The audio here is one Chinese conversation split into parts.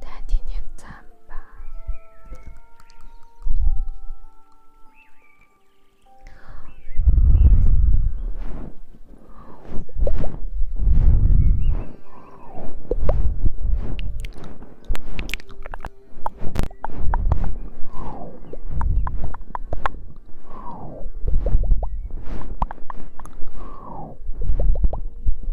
再点点赞吧。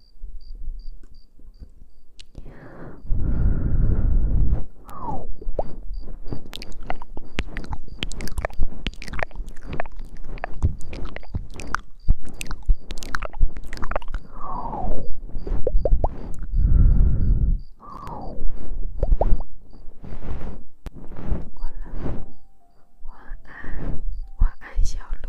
好了，晚安，晚安，小鹿。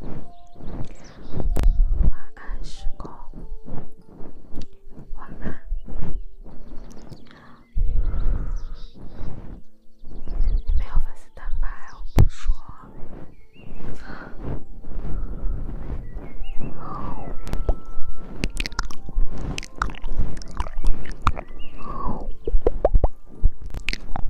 晚安，时空。晚安。你没有粉丝蛋白，我不说。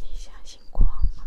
你相信光吗？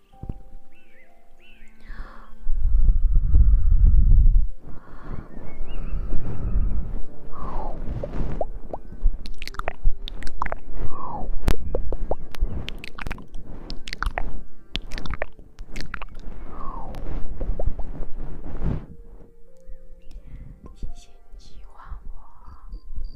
谢谢你喜欢我。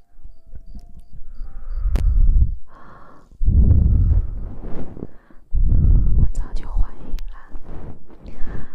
我早就怀疑了。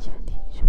想听什么？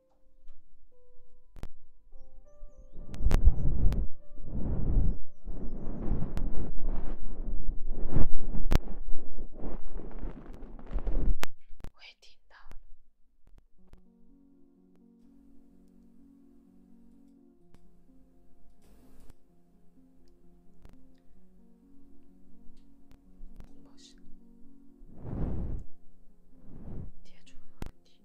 我也听到了接触的问题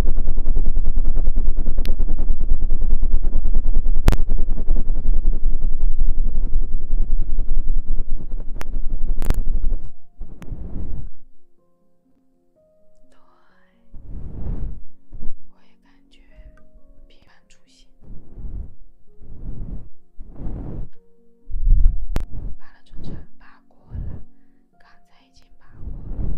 对，我也感觉平安出心，发了春山，发过。刚才已经把我。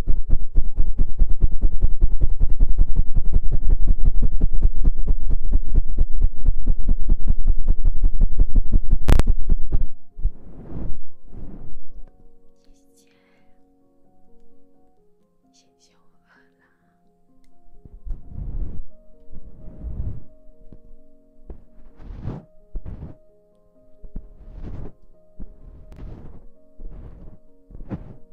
姐姐，谢谢，我饿了。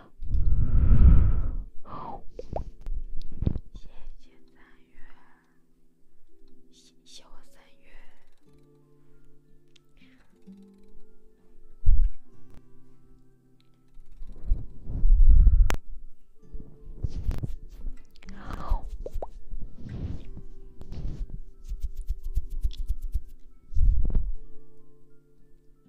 谢谢三月，心小三月。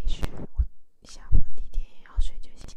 没事，我下午地铁也要睡就行。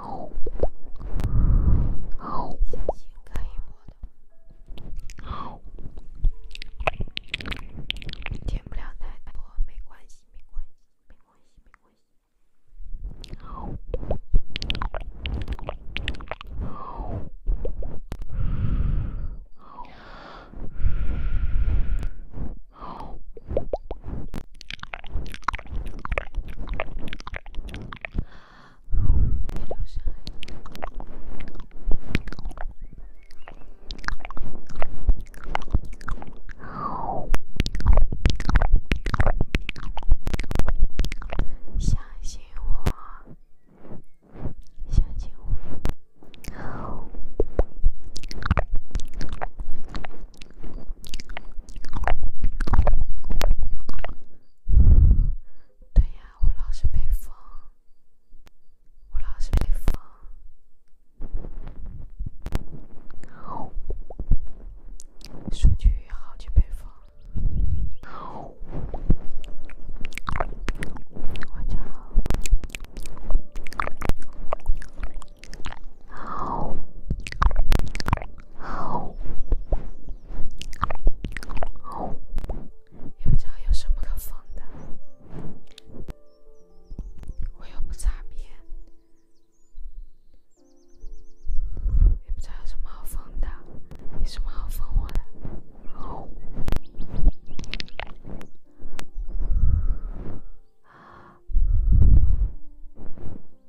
好，小心可以摸的。好，减不了太多，没关系，没关系，没关系，没关系。好，好，好，好。相信我，相信我。对呀，我老是被封，我老是被封，数据好久被封。晚上好，好，好。也不知道有什么可封的，我又不擦边。也不知道有什么好封的，有什么好封我的？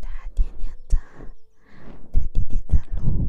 大家点点赞，再点点赞，录。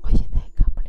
我现在也看不了。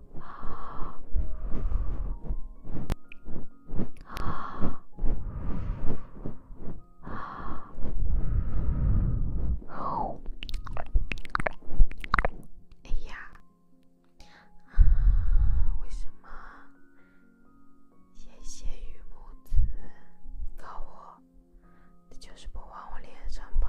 啊啊啊！哎呀，为什么？谢谢雨母子的我，他就是不往我脸上跑。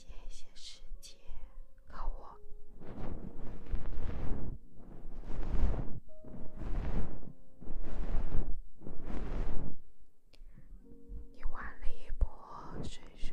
谢谢世界和我一万里波，水水。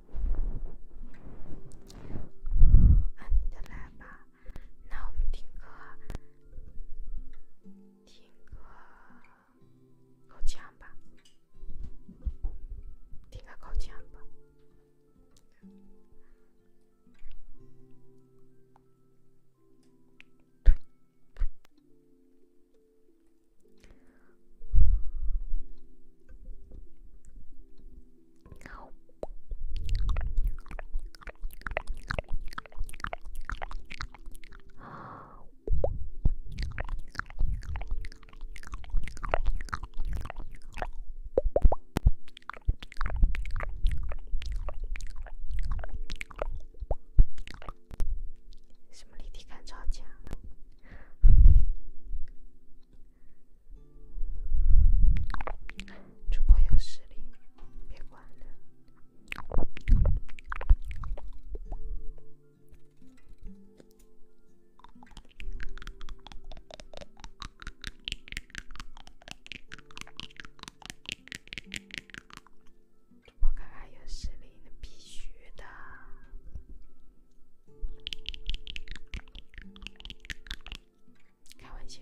按你的来吧，那我们听歌，听个口琴吧，听个口琴吧。对。什么立体感超强？主播有实力，别管了。主播看刚有实力那必须的。开玩笑。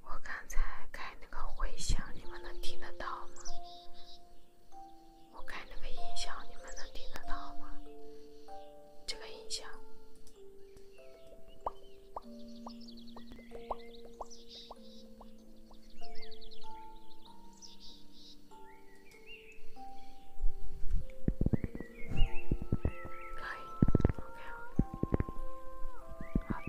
我刚才开那个回响，你们能听得到吗？我开那个音响，你们能听得到吗？这个音响。开，好的。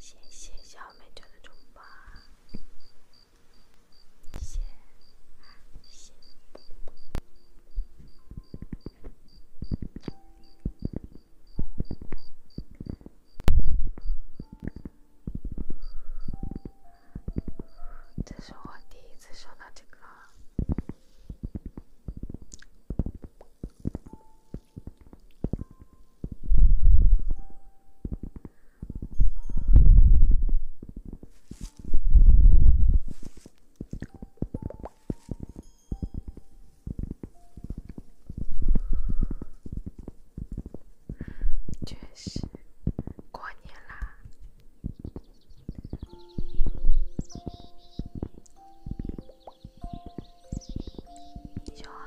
谢谢小美娟的中巴。这是我第一次说到这个。确实，过年啦，就好了，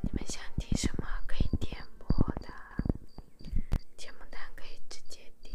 你们想听什么？可以点播的。节目单可以直接点，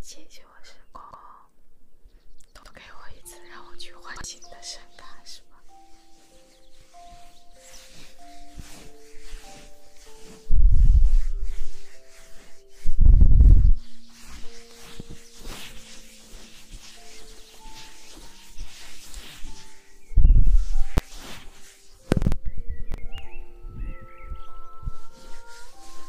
谢谢我时光，多给我一次，让我去换新的身卡，是吗？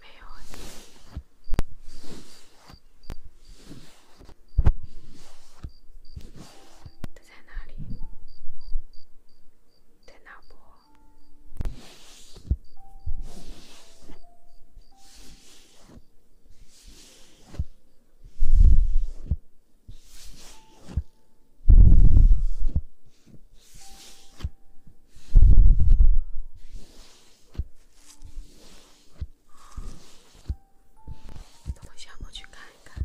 没有啊，他在哪里？在哪不。等想我去看一看。